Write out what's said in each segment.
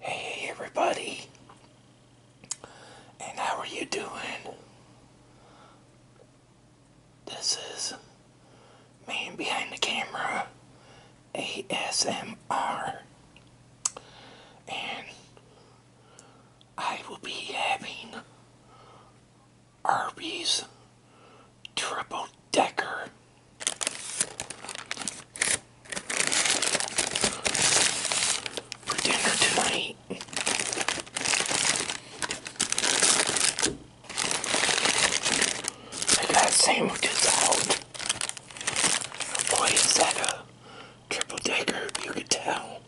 Hey everybody, and how are you doing? This is Man Behind the Camera ASMR, and I will be having Arby's triple decker. For dinner tonight. I got sandwiches out. Boy, is that a triple decker, you could tell.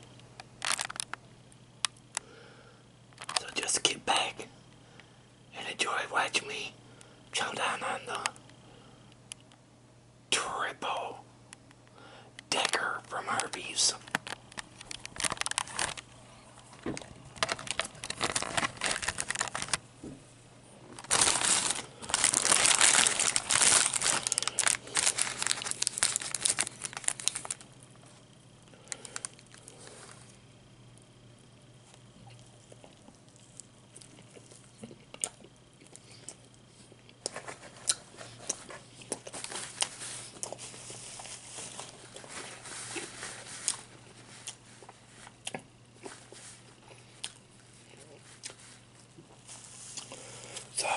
So just get back and enjoy watching me come down on the triple decker from Arby's. So,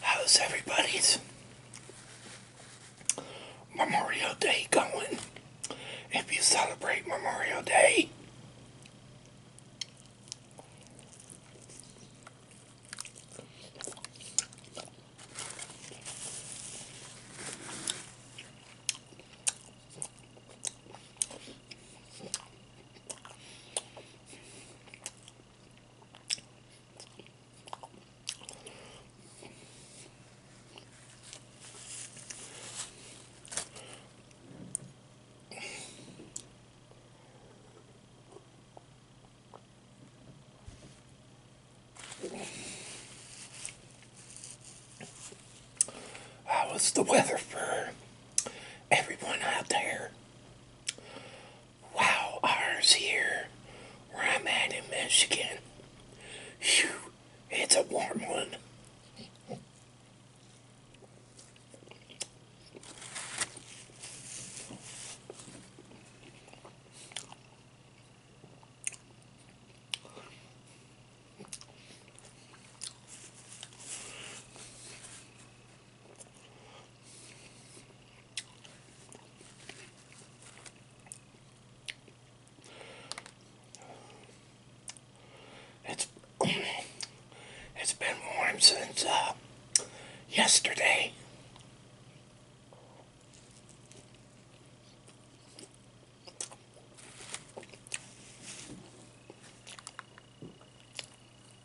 how's everybody's Memorial Day going. If you celebrate Memorial Day, how is the weather for everyone out there? Wow, ours here, where I'm at in Michigan. Phew, it's a warm one. It's it's been warm since uh, yesterday.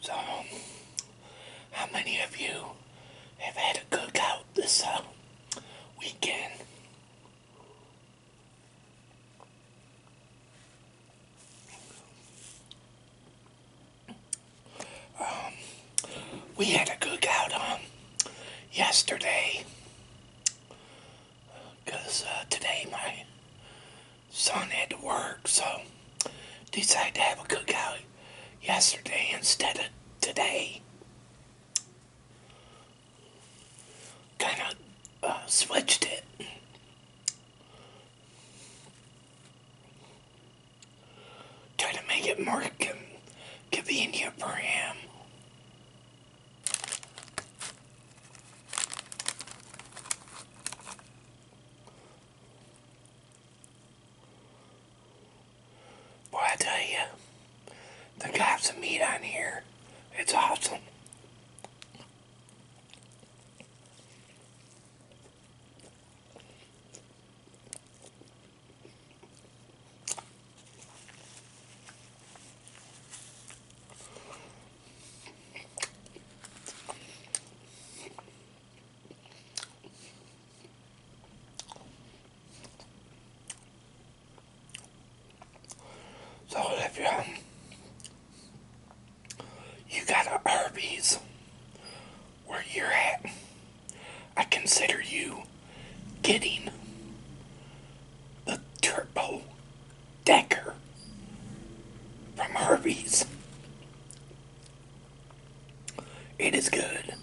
So, how many of you have had a cookout this uh, weekend? Um, we had a cookout um, yesterday because uh, today my son had to work, so decided to have a cookout yesterday instead of today. Kind of uh, switched it. Try to make it more convenient for him. Boy, I tell you, the cops of meat on here, it's awesome. So if you um, you got a Arby's where you at, I consider you getting the Turbo Decker from Harvey's. It is good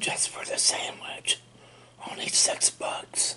just for the sandwich, only six bucks.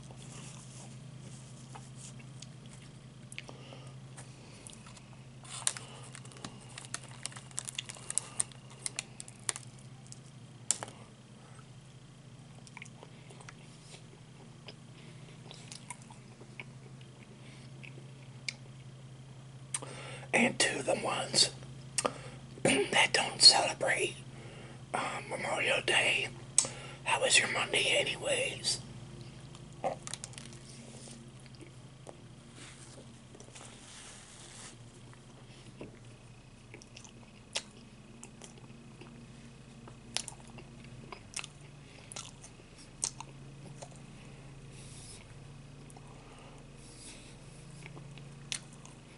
and to the ones that don't celebrate uh, Memorial Day. How was your Monday, anyways?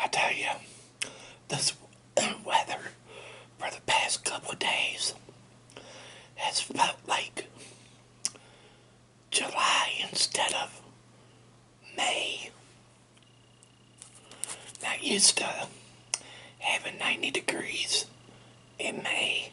I tell you, this weather for the past couple of days has felt like July instead of May. Not used to having 90 degrees in May.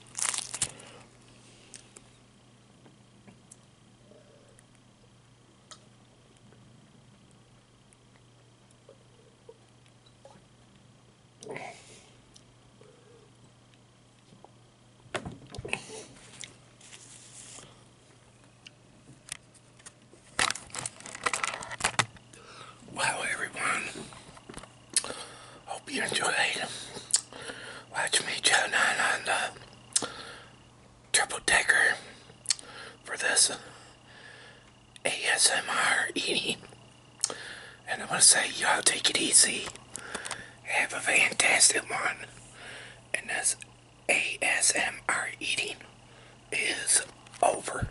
Wow, everyone. Hope you enjoyed. Watch me chowing on on the triple decker for this ASMR eating. And I want to say, y'all take it easy. Have a fantastic one. And this ASMR eating is over.